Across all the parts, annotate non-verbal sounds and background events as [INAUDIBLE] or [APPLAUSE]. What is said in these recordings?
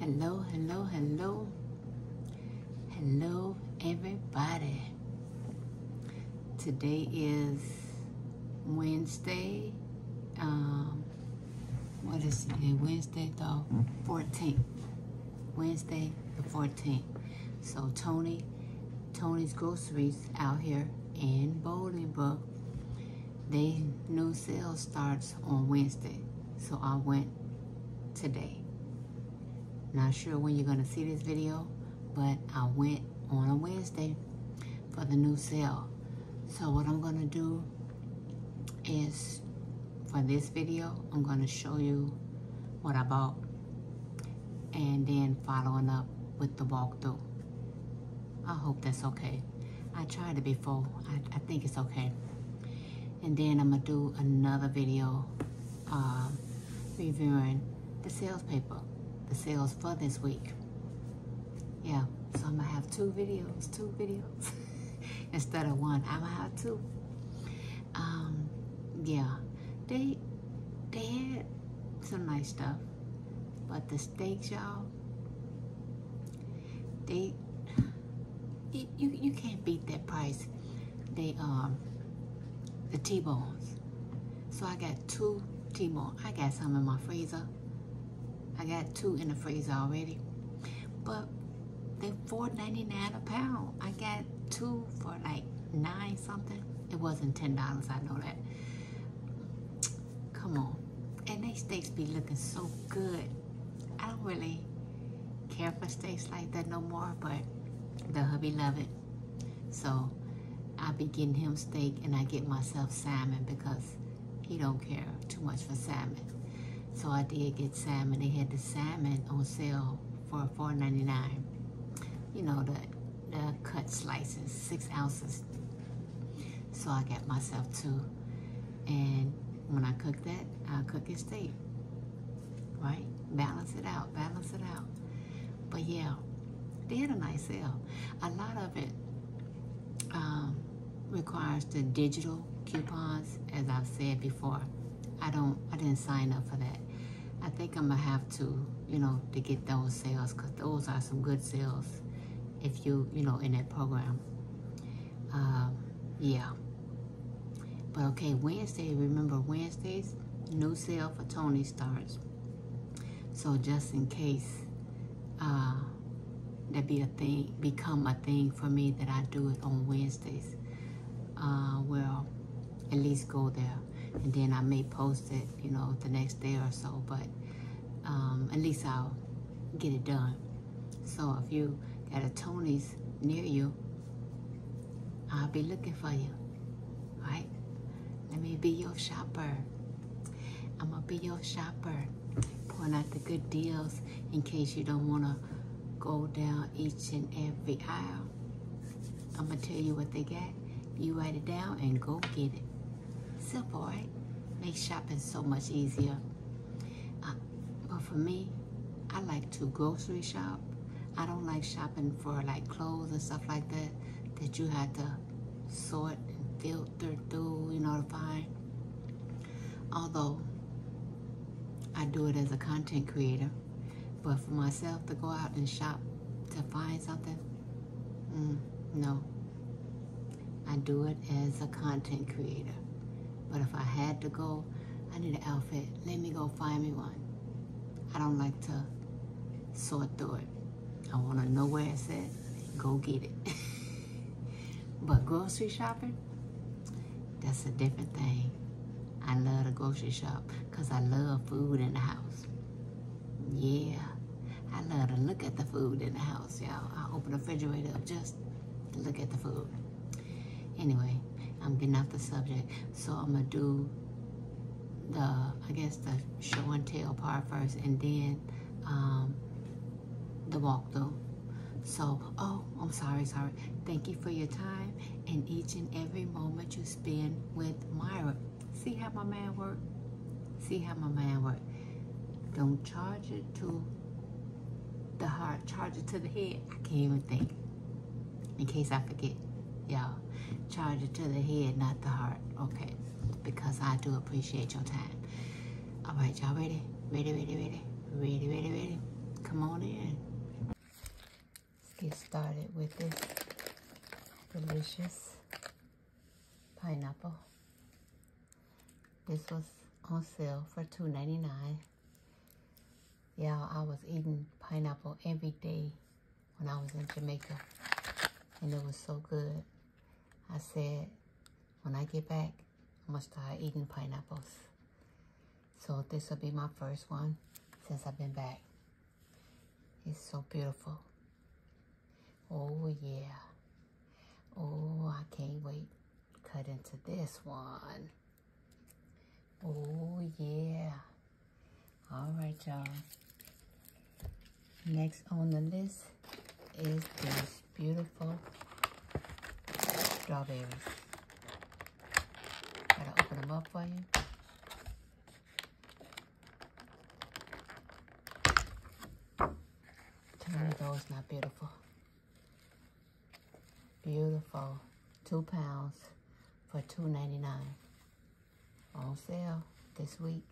Hello, hello, hello. Hello, everybody. Today is Wednesday. Um, what is today? Wednesday the 14th. Wednesday the 14th. So Tony, Tony's Groceries out here in Bolingbrook. They new sale starts on Wednesday. So I went today. Not sure when you're going to see this video, but I went on a Wednesday for the new cell. So what I'm going to do is for this video, I'm going to show you what I bought and then following up with the walkthrough. I hope that's okay. I tried it before. I think it's okay. And then I'm gonna do another video uh, reviewing the sales paper, the sales for this week. Yeah, so I'm gonna have two videos, two videos [LAUGHS] instead of one. I'm gonna have two. Um, yeah, they they had some nice stuff, but the stakes, y'all, they you, you, can't beat that price. They um the T-bones. So I got two T-bones. I got some in my freezer. I got two in the freezer already. But they're four 4 $4.99 a pound. I got two for like nine something. It wasn't ten dollars, I know that. Come on. And they steaks be looking so good. I don't really care for steaks like that no more, but the hubby love it. So I begin him steak and I get myself salmon because he don't care too much for salmon. So I did get salmon. They had the salmon on sale for $4.99. You know, the, the cut slices, six ounces. So I got myself two. And when I cook that, i cook it steak. Right? Balance it out, balance it out. But yeah, they had a nice sale. A lot of it um, requires the digital coupons, as I've said before. I don't, I didn't sign up for that. I think I'm gonna have to, you know, to get those sales because those are some good sales if you, you know, in that program. Um, yeah, but okay, Wednesday, remember Wednesdays, new sale for Tony starts. So just in case uh, that be a thing, become a thing for me that I do it on Wednesdays. Uh, well, at least go there. And then I may post it, you know, the next day or so, but um, at least I'll get it done. So if you got a Tony's near you, I'll be looking for you. Right? Let me be your shopper. I'm gonna be your shopper. Point out the good deals in case you don't wanna go down each and every aisle. I'm gonna tell you what they got. You write it down and go get it. Simple, right? Makes shopping so much easier. Uh, but for me, I like to grocery shop. I don't like shopping for like clothes and stuff like that that you have to sort and filter through, you know, to find. Although I do it as a content creator, but for myself to go out and shop to find something, mm, no. I do it as a content creator. But if I had to go, I need an outfit. Let me go find me one. I don't like to sort through it. I want to know where it's at. Go get it. [LAUGHS] but grocery shopping, that's a different thing. I love the grocery shop because I love food in the house. Yeah. I love to look at the food in the house, y'all. I open the refrigerator just to look at the food. Anyway, I'm getting off the subject. So I'm going to do the, I guess, the show and tell part first and then um, the walkthrough. So, oh, I'm sorry, sorry. Thank you for your time and each and every moment you spend with Myra. See how my man work? See how my man work. Don't charge it to the heart charge it to the head. I can't even think. In case I forget, y'all, charge it to the head, not the heart. Okay, because I do appreciate your time. All right, y'all ready? Ready, ready, ready? Ready, ready, ready? Come on in. Let's get started with this delicious pineapple. This was on sale for $2.99 yeah, I was eating pineapple every day when I was in Jamaica. And it was so good. I said, when I get back, i must going start eating pineapples. So this will be my first one since I've been back. It's so beautiful. Oh, yeah. Oh, I can't wait. Cut into this one. Oh, yeah. All right, y'all. Next on the list is this beautiful strawberries. Gotta open them up for you. Tell me those not beautiful. Beautiful. Two pounds for two ninety nine. On sale this week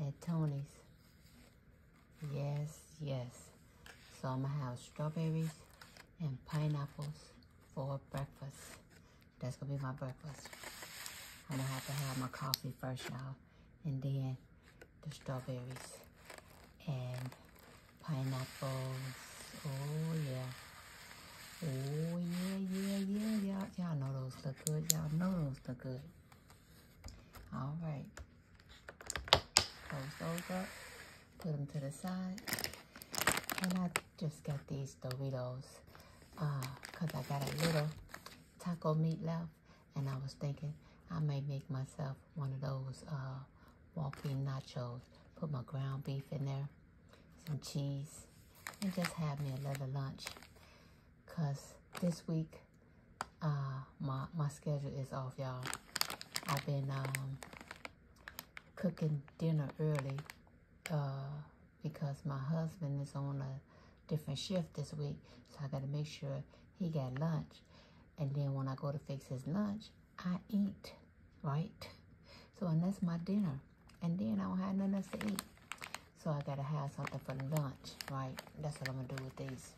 at Tony's. Yes, yes. So I'm gonna have strawberries and pineapples for breakfast. That's gonna be my breakfast. I'm gonna have to have my coffee first, y'all, and then the strawberries and pineapples. Oh yeah. Oh yeah, yeah, yeah. yeah. all y'all know those look good. Y'all know those look good. All right. Close those Put them to the side. And I just got these Doritos because uh, I got a little taco meat left. And I was thinking I may make myself one of those uh, walk-in nachos. Put my ground beef in there, some cheese, and just have me a little lunch. Because this week, uh, my, my schedule is off, y'all. I've been um, cooking dinner early uh, because my husband is on a different shift this week. So I got to make sure he got lunch and then when I go to fix his lunch, I eat, right? So, and that's my dinner. And then I don't have nothing else to eat. So I gotta have something for lunch, right? That's what I'm gonna do with these.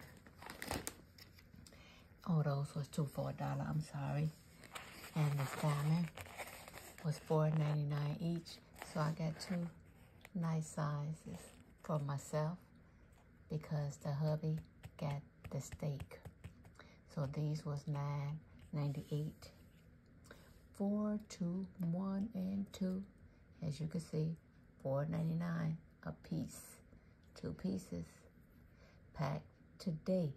Oh, those was two for a dollar, I'm sorry. And the salmon was four ninety nine each. So I got two nice sizes for myself because the hubby get the steak. So these was nine ninety eight. Four, two, one, and two. As you can see, four ninety nine a piece. Two pieces. Packed today.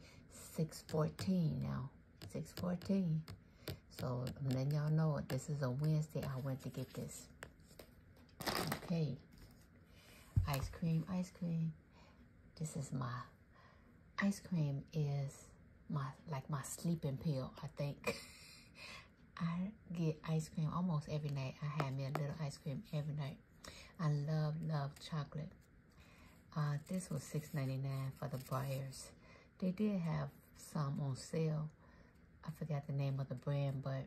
Six fourteen now. Six fourteen. So i y'all know this is a Wednesday. I went to get this. Okay. Ice cream, ice cream. This is my ice cream is my like my sleeping pill, I think. [LAUGHS] I get ice cream almost every night. I have me a little ice cream every night. I love, love chocolate. Uh, this was six ninety nine for the buyers. They did have some on sale. I forgot the name of the brand, but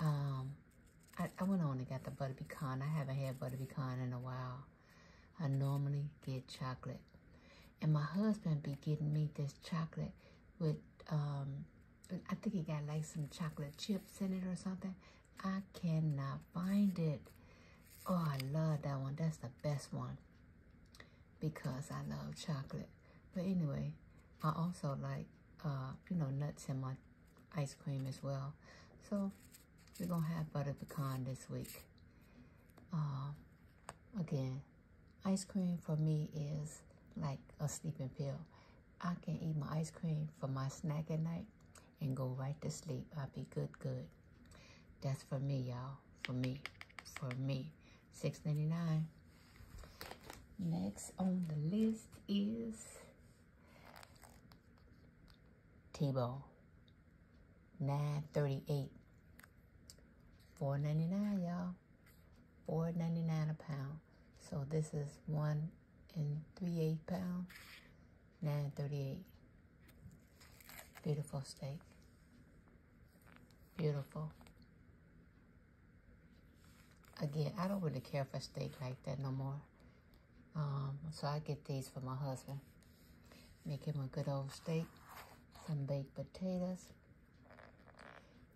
um, I, went on and got the butter pecan. I haven't had butter pecan in a while. I normally get chocolate. And my husband be getting me this chocolate with, um, I think he got like some chocolate chips in it or something. I cannot find it. Oh, I love that one. That's the best one because I love chocolate. But anyway, I also like, uh, you know, nuts in my ice cream as well. So we're going to have butter pecan this week. Um, again, ice cream for me is like a sleeping pill. I can eat my ice cream for my snack at night and go right to sleep. I'll be good, good. That's for me, y'all. For me. For me. Six ninety nine. Next on the list is Tebow. 938. 499 y'all. 499 a pound. So this is one and three eight pound. 938. Beautiful steak. Beautiful. Again, I don't really care for steak like that no more. Um, so I get these for my husband. Make him a good old steak, some baked potatoes,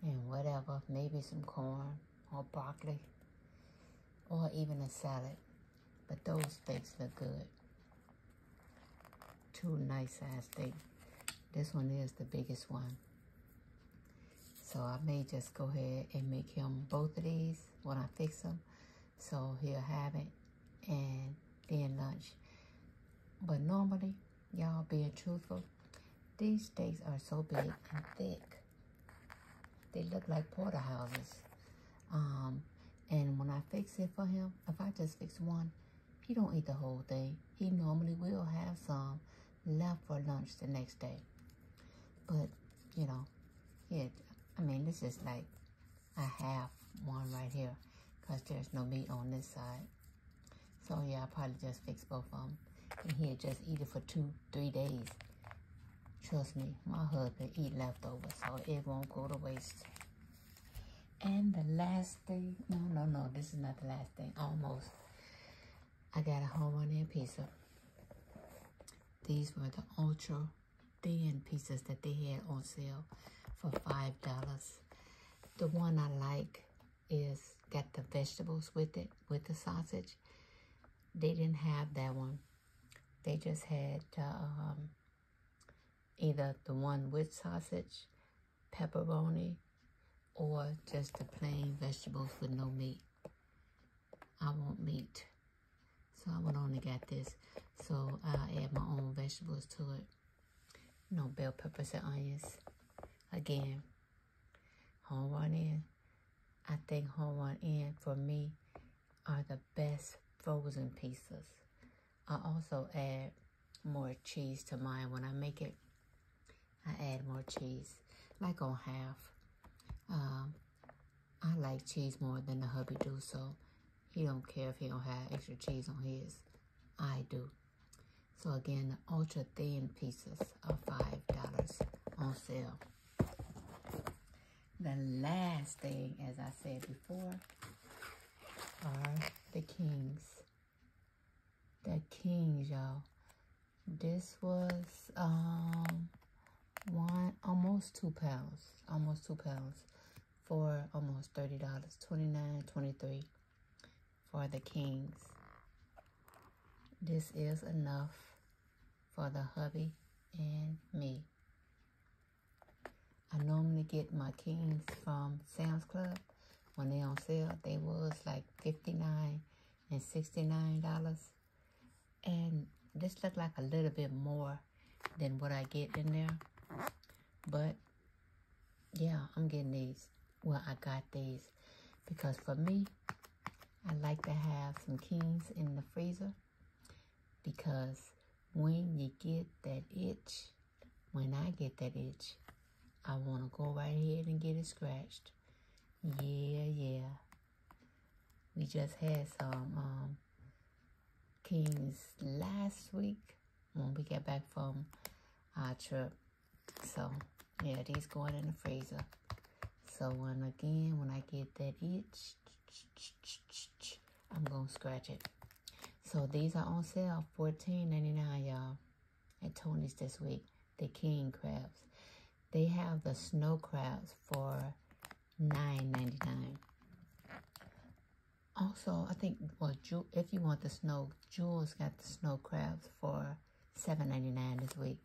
and whatever, maybe some corn or broccoli, or even a salad. But those steaks look good. Two nice sized steaks. This one is the biggest one. So I may just go ahead and make him both of these when I fix them. So he'll have it and then lunch. But normally, y'all being truthful, these steaks are so big and thick. They look like porterhouses. Um, and when I fix it for him, if I just fix one, he don't eat the whole thing. He normally will have some left for lunch the next day. But, you know, it, I mean, this is like, I have one right here because there's no meat on this side. So yeah, I probably just fix both of them. And he'll just eat it for two, three days. Trust me, my husband eat leftovers, so it won't go to waste. And the last thing, no, no, no, this is not the last thing, almost. I got a home run and pizza. These were the ultra then pieces that they had on sale for five dollars. The one I like is got the vegetables with it, with the sausage. They didn't have that one. They just had um, either the one with sausage, pepperoni, or just the plain vegetables with no meat. I want meat. So I went only and got this. So I add my own vegetables to it. No bell peppers and onions. Again, home run in. I think home run in for me are the best frozen pizzas. I also add more cheese to mine when I make it. I add more cheese, like on half. Um, I like cheese more than the hubby do, so he don't care if he don't have extra cheese on his. I do. So again, the ultra thin pieces of $5 on sale. The last thing, as I said before, are the kings. The kings, y'all. This was um one almost two pounds almost two pounds for almost $30 29 23 for the kings this is enough for the hubby and me I normally get my kings from Sam's Club when they on sale they was like 59 and $69 and this looked like a little bit more than what I get in there. But yeah, I'm getting these. Well, I got these because for me, I like to have some kings in the freezer because when you get that itch, when I get that itch, I want to go right ahead and get it scratched. Yeah, yeah. We just had some um, kings last week when we get back from our trip. So, yeah, these going in the freezer. So, when again, when I get that itch, I'm going to scratch it. So, these are on sale, fourteen .99, y'all, at Tony's this week. The king crabs. They have the snow crabs for Nine ninety nine. Also, I think well, if you want the snow, Jules got the snow crabs for seven ninety nine this week.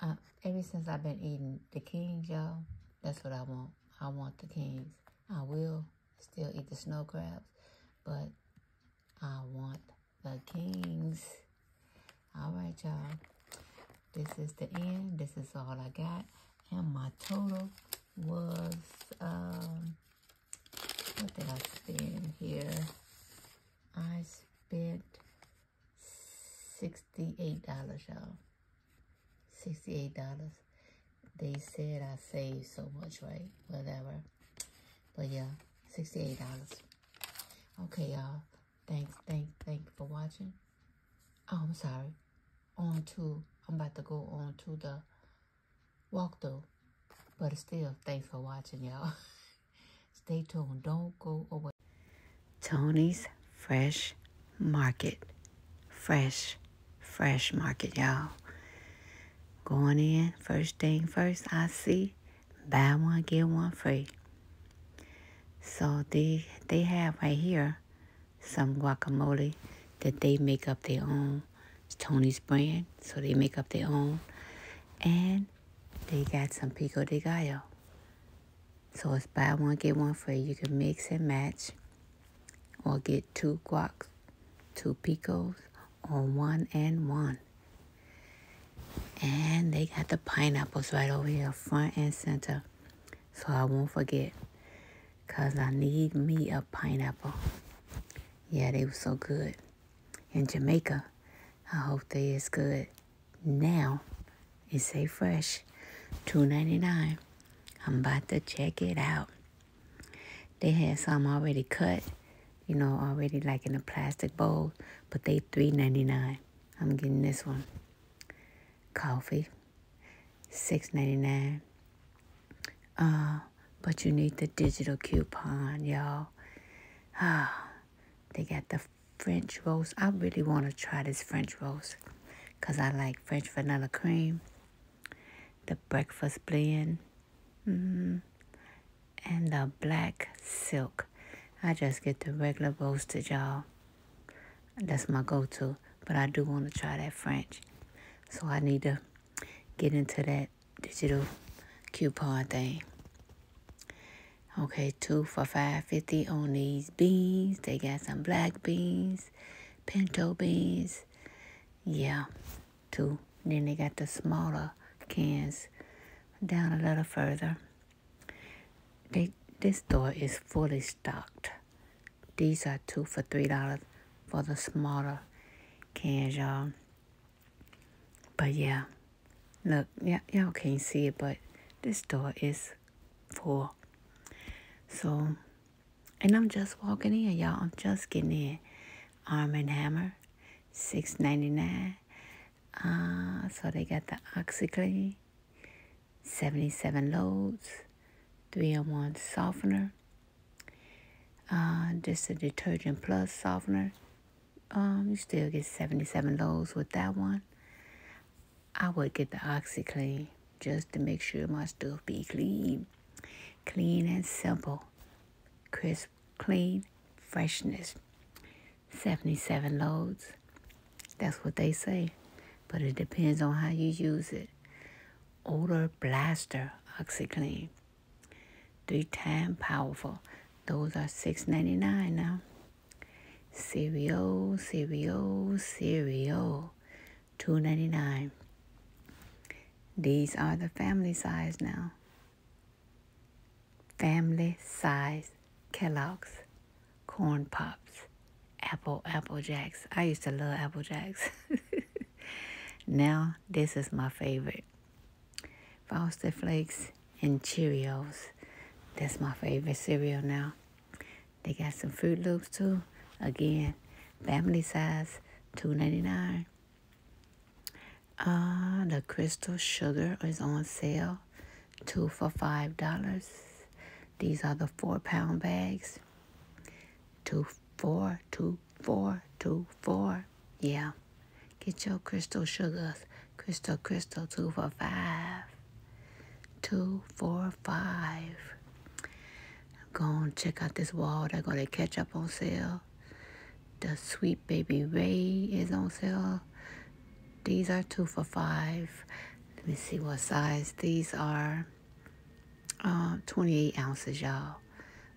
Uh, ever since I've been eating the kings, y'all, that's what I want. I want the kings. I will still eat the snow crabs, but I want the kings. All right, y'all. This is the end. This is all I got. And my total was, um, what did I spend here? I spent $68, y'all. $68. They said I saved so much, right? Whatever. But yeah, $68. Okay, y'all. Thanks, thanks, thanks for watching. Oh, I'm sorry. On to, I'm about to go on to the walkthrough. But still, thanks for watching, y'all. [LAUGHS] Stay tuned. Don't go away. Tony's Fresh Market. Fresh, fresh market, y'all. Going in, first thing first, I see buy one, get one free. So they, they have right here some guacamole that they make up their own. Tony's brand, so they make up their own. And they got some pico de gallo. So it's buy one, get one free. You can mix and match or get two guacs, two picos, on one and one. And they got the pineapples right over here, front and center so I won't forget. Cause I need me a pineapple. Yeah, they were so good. In Jamaica, I hope they is good. Now, it's a fresh, two ninety nine. I'm about to check it out. They had some already cut, you know, already like in a plastic bowl, but they three ninety nine. I'm getting this one. Coffee. Six ninety nine. dollars uh, but you need the digital coupon, y'all. Ah, they got the French roast. I really want to try this French roast because I like French vanilla cream, the breakfast blend, -hmm. and the black silk. I just get the regular roasted, y'all. That's my go to. But I do want to try that French. So I need to get into that digital coupon thing. Okay, two for five fifty on these beans. They got some black beans, pinto beans. Yeah, two. Then they got the smaller cans down a little further. They, this store is fully stocked. These are two for three dollars for the smaller cans, y'all. But yeah, look, y'all can't see it, but this store is full. So, and I'm just walking in, y'all. I'm just getting in. Arm and Hammer, six ninety nine. Uh, so they got the OxyClean 77 loads, 301 softener. Uh, just a detergent plus softener. Um, you still get 77 loads with that one. I would get the OxyClean just to make sure my stuff be clean. Clean and simple. Crisp, clean, freshness. 77 loads, that's what they say. But it depends on how you use it. Odor Blaster OxyClean. Three time powerful. Those are six ninety nine now. Cereal, cereal, cereal. two ninety nine. These are the family size now. Family size Kellogg's corn pops, apple apple jacks. I used to love apple jacks. [LAUGHS] now this is my favorite. Frosted Flakes and Cheerios. That's my favorite cereal now. They got some Fruit Loops too. Again, family size, two ninety nine. Uh, the crystal sugar is on sale, two for five dollars. These are the four pound bags. Two four two four two four, Yeah. Get your crystal sugars. Crystal, crystal, two for five. Two, four, five. Go and check out this wall. They're going to catch up on sale. The Sweet Baby Ray is on sale. These are two for five. Let me see what size these are uh, 28 ounces, y'all,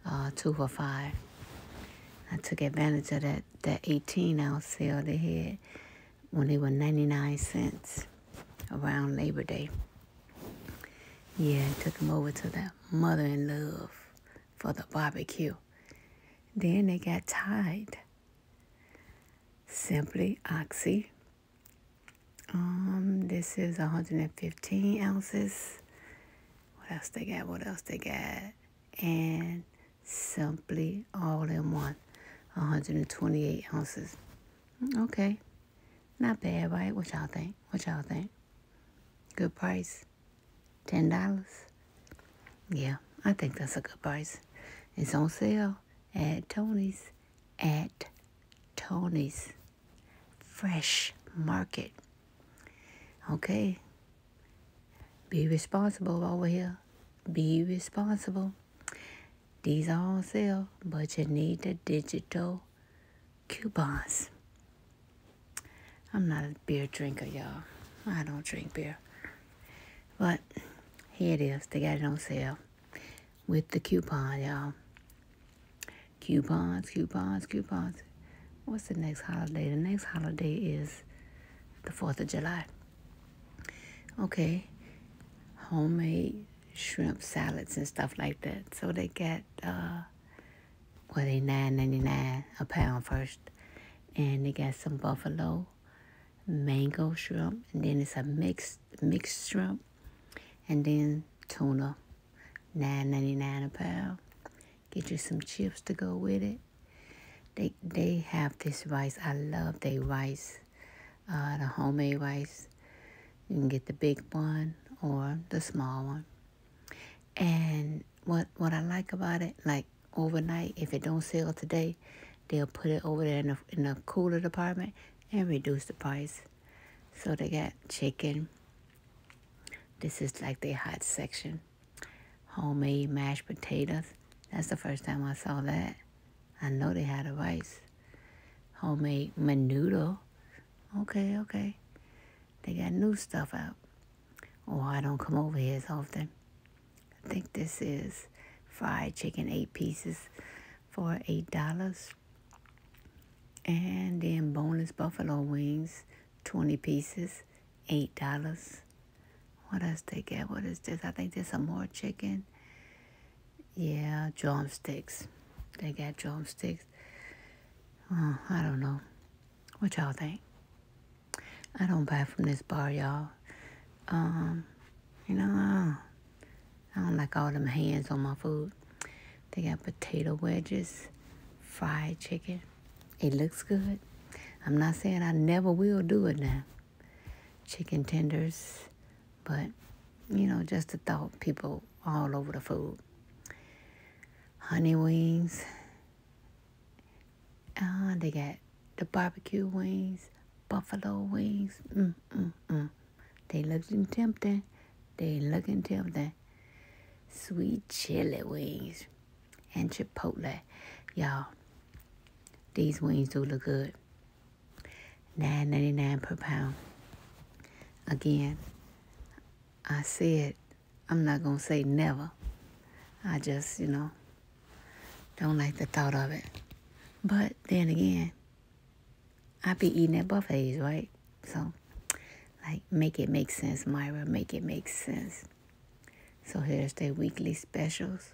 uh, two for five. I took advantage of that, that 18 ounce sale they had when they were 99 cents around Labor Day. Yeah, I took them over to the mother in love for the barbecue. Then they got tied. Simply Oxy um, this is 115 ounces. What else they got? What else they got? And simply all in one, 128 ounces. Mm, okay, not bad, right? What y'all think? What y'all think? Good price, ten dollars. Yeah, I think that's a good price. It's on sale at Tony's at Tony's Fresh Market. Okay? Be responsible over here. Be responsible. These are on sale, but you need the digital coupons. I'm not a beer drinker, y'all. I don't drink beer. But here it is. They got it on sale with the coupon, y'all. Coupons, coupons, coupons. What's the next holiday? The next holiday is the 4th of July. Okay. Homemade shrimp salads and stuff like that. So they get uh, well, nine ninety nine a pound first. And they got some buffalo, mango shrimp, and then it's a mixed, mixed shrimp and then tuna, nine ninety nine a pound. Get you some chips to go with it. They they have this rice. I love their rice, uh, the homemade rice. You can get the big one or the small one. And what what I like about it, like overnight, if it don't sell today, they'll put it over there in the in the cooler department and reduce the price. So they got chicken. This is like their hot section. Homemade mashed potatoes. That's the first time I saw that. I know they had a rice. Homemade menudo. Okay, okay. They got new stuff out. Oh, I don't come over here as often. I think this is fried chicken, eight pieces for $8. And then bonus buffalo wings, 20 pieces, $8. What else they get? What is this? I think there's some more chicken. Yeah, drumsticks. They got drumsticks. Oh, I don't know. What y'all think? I don't buy from this bar, y'all. Um, you know, I don't like all them hands on my food. They got potato wedges, fried chicken. It looks good. I'm not saying I never will do it now. Chicken tenders, but you know, just the thought people all over the food. Honey wings. Uh, they got the barbecue wings, buffalo wings. Mm, mm, mm. They looking tempting. They looking tempting. Sweet chili wings and chipotle. Y'all, these wings do look good. Nine ninety nine per pound. Again, I said I'm not gonna say never. I just, you know, don't like the thought of it. But then again, I be eating at buffets, right? So, like, make it make sense, Myra. Make it make sense. So here's their weekly specials.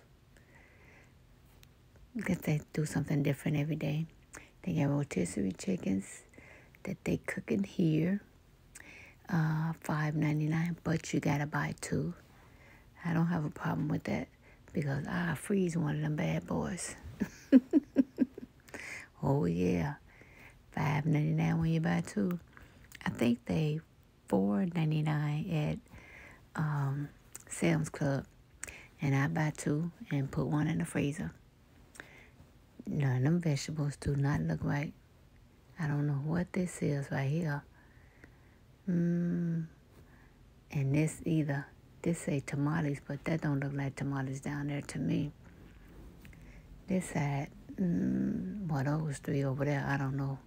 Because they do something different every day. They got rotisserie chickens that they cooking here. Uh, five ninety nine, but you gotta buy two. I don't have a problem with that because I freeze one of them bad boys. [LAUGHS] oh yeah, five ninety nine when you buy two. I think they four ninety nine at um, Sam's Club, and I buy two and put one in the freezer. None of them vegetables do not look right. I don't know what this is right here. Mmm and this either. This say tamales, but that don't look like tamales down there to me. This had, mm, well, those three over there, I don't know.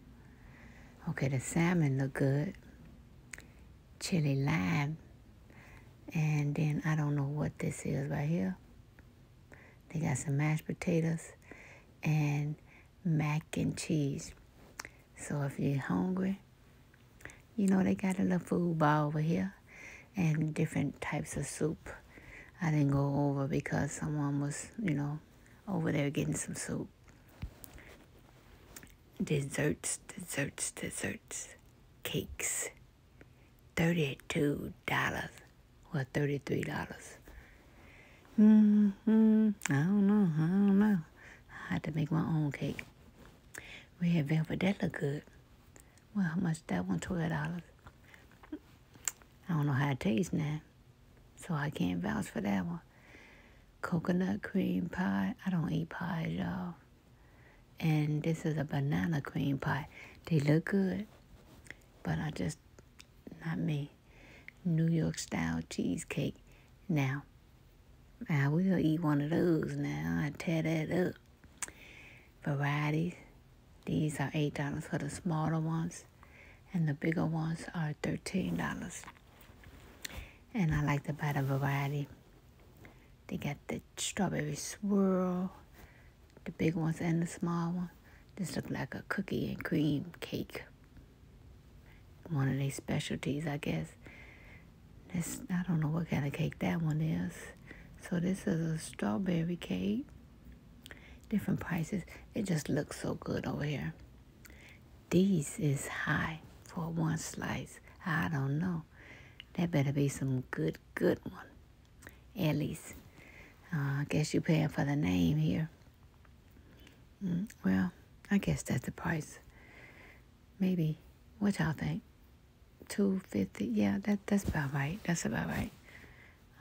Okay, the salmon look good. Chili lime. And then I don't know what this is right here. They got some mashed potatoes and mac and cheese. So if you're hungry, you know, they got a little food bar over here and different types of soup. I didn't go over because someone was, you know, over there getting some soup. Desserts, desserts, desserts, cakes. $32 or $33. dollars Hmm hmm I don't know. I don't know. I had to make my own cake. We had velvet. That look good. Well, how much that one? Twelve dollars. I don't know how it tastes now, so I can't vouch for that one. Coconut cream pie. I don't eat pie, y'all. And this is a banana cream pie. They look good, but I just not me. New York style cheesecake. Now, I will eat one of those. Now I tear that up variety. These are $8 for the smaller ones, and the bigger ones are $13. And I like to buy the variety. They got the strawberry swirl, the big ones and the small ones. This looks like a cookie and cream cake. One of their specialties, I guess. This, I don't know what kind of cake that one is. So this is a strawberry cake. Different prices. It just looks so good over here. This is high for one slice. I don't know. That better be some good, good one. At least. Uh, I guess you're paying for the name here. Mm, well, I guess that's the price. Maybe. What y'all think? 250 yeah that that's about right that's about right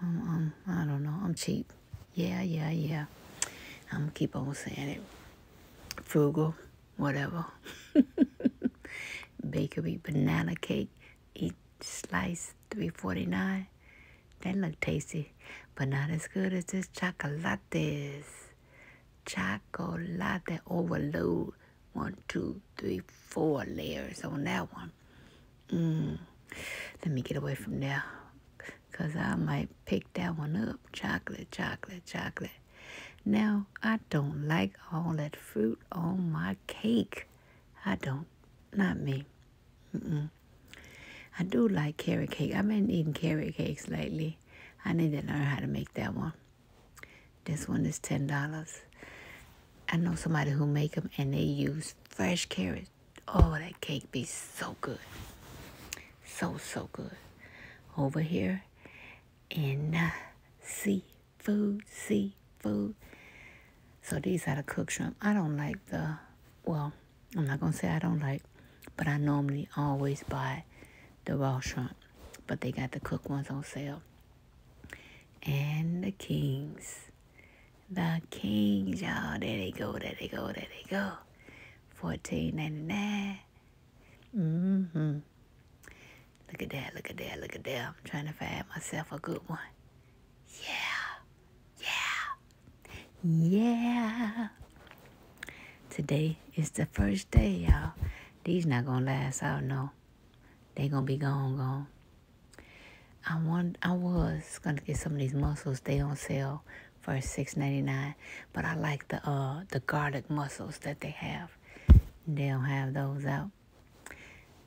um, um i don't know i'm cheap yeah yeah yeah i'm gonna keep on saying it frugal whatever [LAUGHS] bakery banana cake each slice 349 that look tasty but not as good as this chocolates chocolate overload one, two, three, four layers on that one. Mm. Let me get away from there. Because I might pick that one up. Chocolate, chocolate, chocolate. Now, I don't like all that fruit on my cake. I don't. Not me. Mm I do like carrot cake. I've been eating carrot cakes lately. I need to learn how to make that one. This one is $10. I know somebody who make them and they use fresh carrots. Oh, that cake be so good. So, so good. Over here in uh, seafood, seafood. So these are the cooked shrimp. I don't like the, well, I'm not going to say I don't like, but I normally always buy the raw shrimp. But they got the cooked ones on sale and the kings. The kings, y'all. There they go, there they go, there they go. Fourteen ninety nine. Mm-hmm. Look at that, look at that, look at that. I'm trying to find myself a good one. Yeah. Yeah. Yeah. Today is the first day, y'all. These not gonna last out, no they gonna be gone, gone. I want I was gonna get some of these mussels. They on sale for six ninety nine. But I like the uh the garlic mussels that they have. They don't have those out.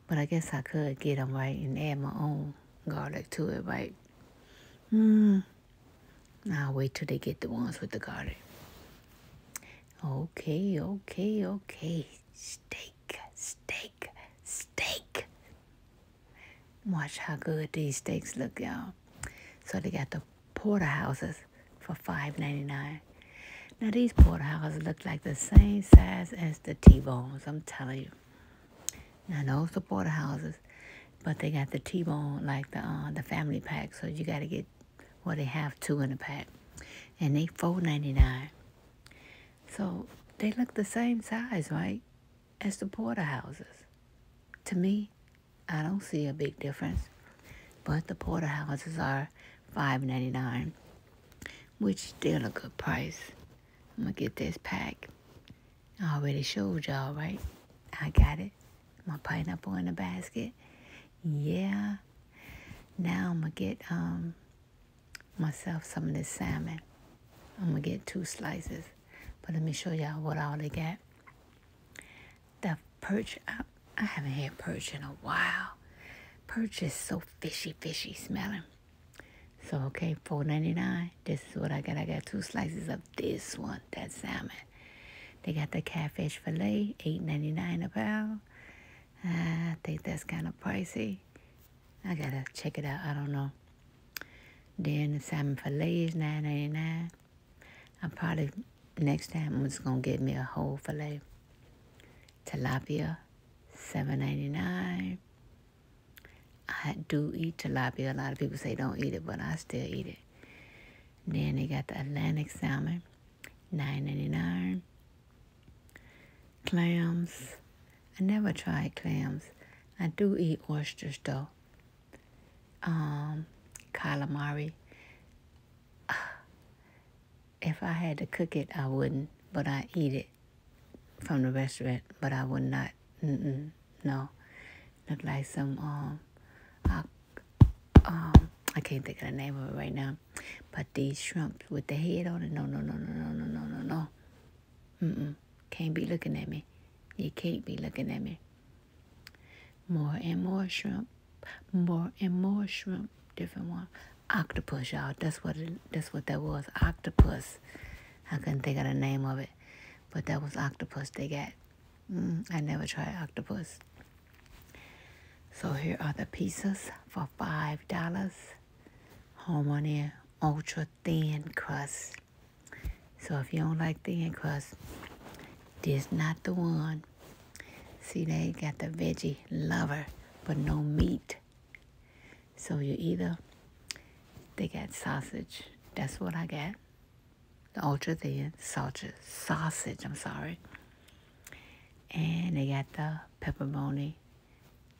But I guess I could get them right and add my own garlic to it, right? Hmm. I'll wait till they get the ones with the garlic. Okay, okay, okay. Steak, steak, steak. Watch how good these steaks look, y'all. So they got the porterhouses for five ninety nine. Now these porterhouses look like the same size as the T-bones, I'm telling you. Now those are porterhouses, but they got the T-bone like the uh, the family pack, so you gotta get well, they have two in a pack, and they four ninety nine. So they look the same size, right, as the porterhouses. To me, I don't see a big difference, but the porterhouses are five ninety nine, which still a good price. I'm gonna get this pack. I already showed y'all, right? I got it. My pineapple in the basket. Yeah. Now I'm going to get um, myself some of this salmon. I'm going to get two slices. But let me show y'all what all they got. The perch, I, I haven't had perch in a while. Perch is so fishy, fishy smelling. So, okay, four ninety nine. This is what I got. I got two slices of this one, that salmon. They got the catfish filet, eight ninety nine a pound. Ah, I think that's kind of pricey. I gotta check it out. I don't know. Then the salmon fillet is nine ninety nine. I'm probably next time I'm just gonna get me a whole fillet. Tilapia, seven ninety nine. I do eat tilapia. A lot of people say don't eat it, but I still eat it. Then they got the Atlantic salmon, 9.99 clams i never tried clams i do eat oysters though um calamari [SIGHS] if i had to cook it i wouldn't but i eat it from the restaurant but i would not mm -mm, no look like some um um I can't think of the name of it right now. But these shrimps with the head on it, no no no no no no no no no. Mm mm. Can't be looking at me. You can't be looking at me. More and more shrimp. More and more shrimp. Different one. Octopus, y'all. That's what that's what that was. Octopus. I couldn't think of the name of it. But that was octopus they got. Mm, I never tried octopus. So here are the pieces for $5. Harmony Ultra Thin Crust. So if you don't like thin crust, this not the one. See, they got the veggie lover, but no meat. So you either, they got sausage. That's what I get. The ultra thin sausage, sausage, I'm sorry. And they got the pepperoni,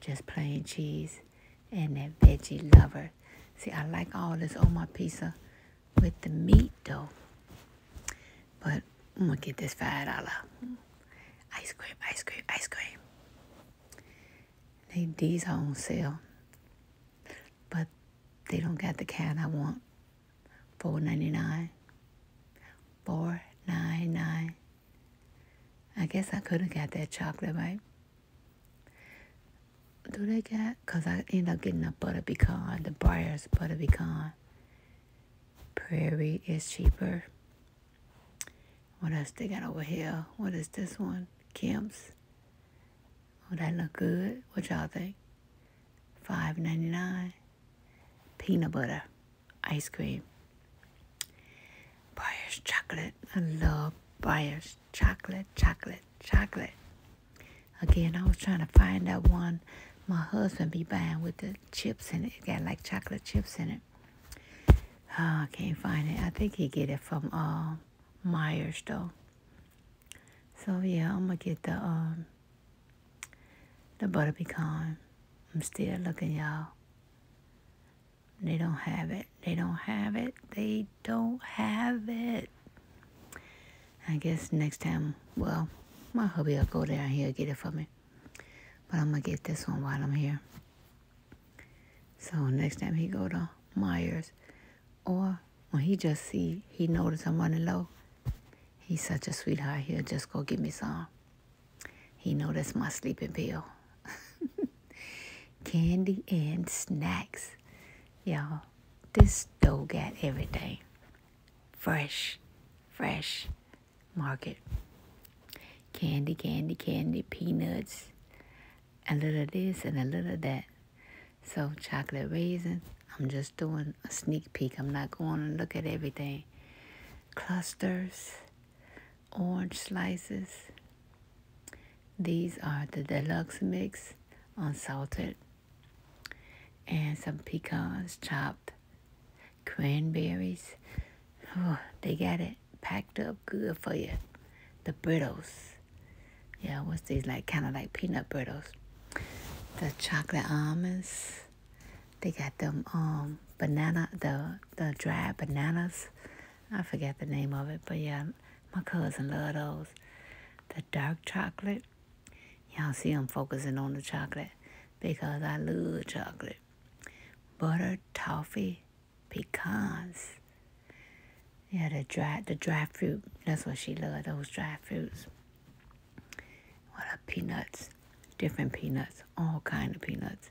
just plain cheese, and that veggie lover. See, I like all this on my pizza with the meat though. But I'm gonna get this five dollar ice cream, ice cream, ice cream. They, these are on sale, but they don't got the kind I want. 499 499 I guess I could have got that chocolate, right? Do they got? Because I end up getting a butter pecan, the Breyers butter pecan. Prairie is cheaper. What else they got over here? What is this one? Kemp's. Oh, that look good. What y'all think? Five ninety nine peanut butter ice cream. Breyer's chocolate. I love Breyer's chocolate, chocolate, chocolate. Again, I was trying to find that one my husband be buying with the chips in it. got like chocolate chips in it. Oh, I can't find it. I think he get it from uh, Myers though. So yeah, I'm gonna get the um, the butter pecan. I'm still looking, y'all. They don't have it. They don't have it. They don't have it. I guess next time, well, my hubby will go down here and get it for me. But I'm going to get this one while I'm here. So next time he go to Myers, or when he just see, he notice I'm running low, he's such a sweetheart, he'll just go give me some. He noticed my sleeping pill. [LAUGHS] Candy and snacks. Y'all, this store got everything. Fresh, fresh market. Candy, candy, candy, peanuts. A little of this and a little of that. So chocolate raisin. I'm just doing a sneak peek. I'm not going to look at everything. Clusters, orange slices. These are the deluxe mix, unsalted. And some pecans chopped, cranberries. Oh, they got it packed up good for you. The brittles. Yeah, what's these like? Kind of like peanut brittles. The chocolate almonds they got them um banana the the dried bananas. I forget the name of it, but yeah, my cousin love those. The dark chocolate. Y'all see I'm focusing on the chocolate because I love chocolate. Butter, toffee, pecans. Yeah, the dried the dried fruit. That's what she loved, those dried fruits. What are peanuts? Different peanuts, all kind of peanuts.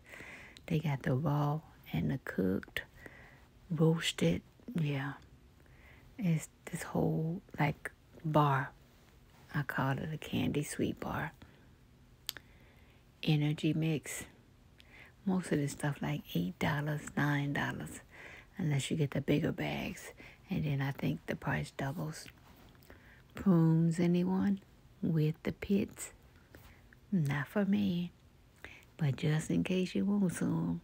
They got the raw and the cooked, roasted. Yeah, it's this whole like bar. I call it a candy sweet bar. Energy mix. Most of the stuff like eight dollars, nine dollars, unless you get the bigger bags, and then I think the price doubles. Prunes, anyone? with the pits. Not for me, but just in case you want some.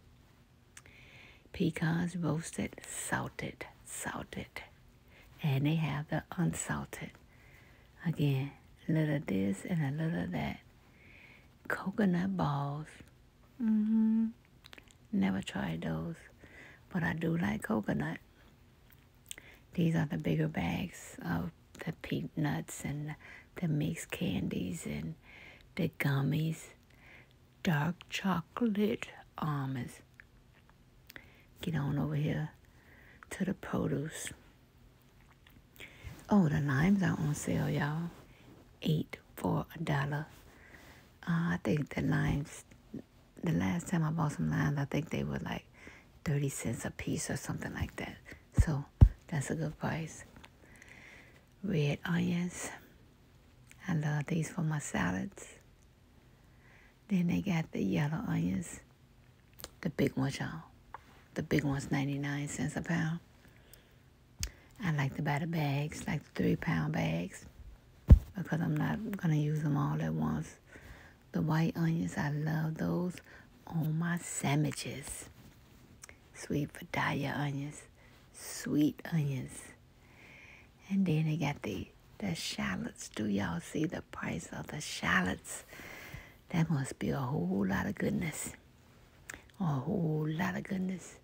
Pecans roasted, salted, salted. And they have the unsalted. Again, a little this and a little that. Coconut balls. Mm-hmm. Never tried those, but I do like coconut. These are the bigger bags of the peanuts and the mixed candies and the gummies, dark chocolate almonds. Get on over here to the produce. Oh, the limes are on sale, y'all. Eight for a dollar. Uh, I think the limes the last time I bought some limes, I think they were like 30 cents a piece or something like that. So that's a good price. Red onions. I love these for my salads. Then they got the yellow onions. The big ones, y'all. The big ones, 99 cents a pound. I like to buy the bags, like the three pound bags, because I'm not going to use them all at once. The white onions, I love those on my sandwiches. Sweet Vidalia onions, sweet onions. And then they got the, the shallots. Do y'all see the price of the shallots? That must be a whole lot of goodness. A whole lot of goodness.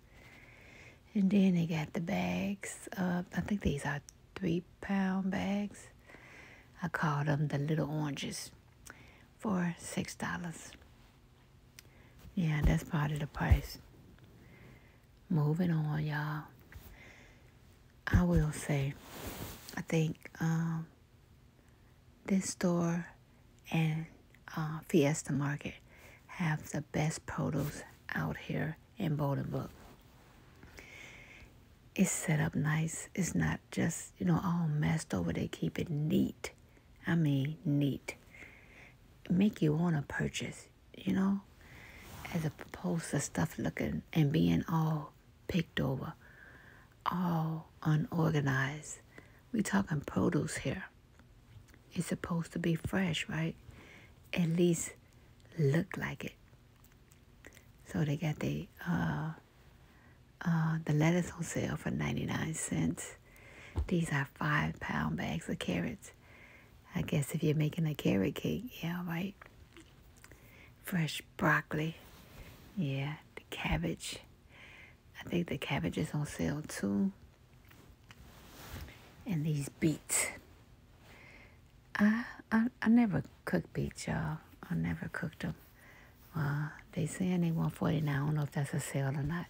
And then they got the bags of, I think these are three pound bags. I call them the little oranges for six dollars. Yeah, that's part of the price. Moving on, y'all. I will say, I think um, this store and uh, Fiesta Market have the best produce out here in Bolingbrook it's set up nice. It's not just, you know, all messed over. They keep it neat. I mean, neat. Make you want to purchase, you know, as opposed to stuff looking and being all picked over, all unorganized. we talking produce here. It's supposed to be fresh, right? At least look like it. So they got the uh, uh, the lettuce on sale for 99 cents. These are five pound bags of carrots. I guess if you're making a carrot cake, yeah, right. Fresh broccoli, yeah, the cabbage. I think the cabbage is on sale too. And these beets. I, I, I never cooked beets, y'all. I never cooked them. Uh, they saying they 149. I don't know if that's a sale or not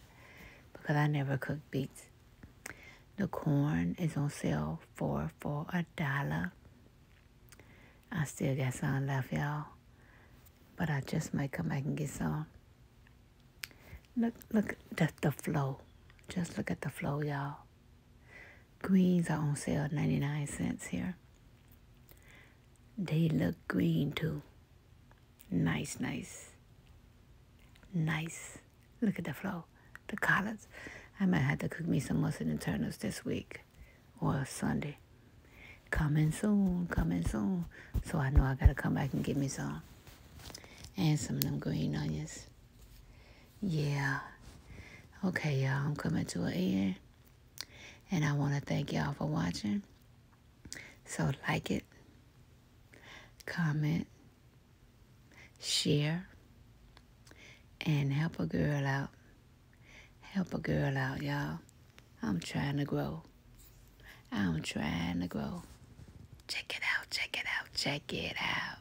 because I never cooked beets. The corn is on sale for for a dollar. I still got some left, y'all. But I just might come back and get some. Look, look at the, the flow. Just look at the flow, y'all. Greens are on sale 99 cents here. They look green too. Nice, nice. Nice. Look at the flow. The colors. I might have to cook me some mustard and turnips this week or Sunday. Coming soon, coming soon. So I know I gotta come back and get me some. And some of them green onions. Yeah. Okay, you I'm coming to an end. And I want to thank y'all for watching. So like it, comment, share, and help a girl out. Help a girl out, y'all. I'm trying to grow. I'm trying to grow. Check it out, check it out, check it out.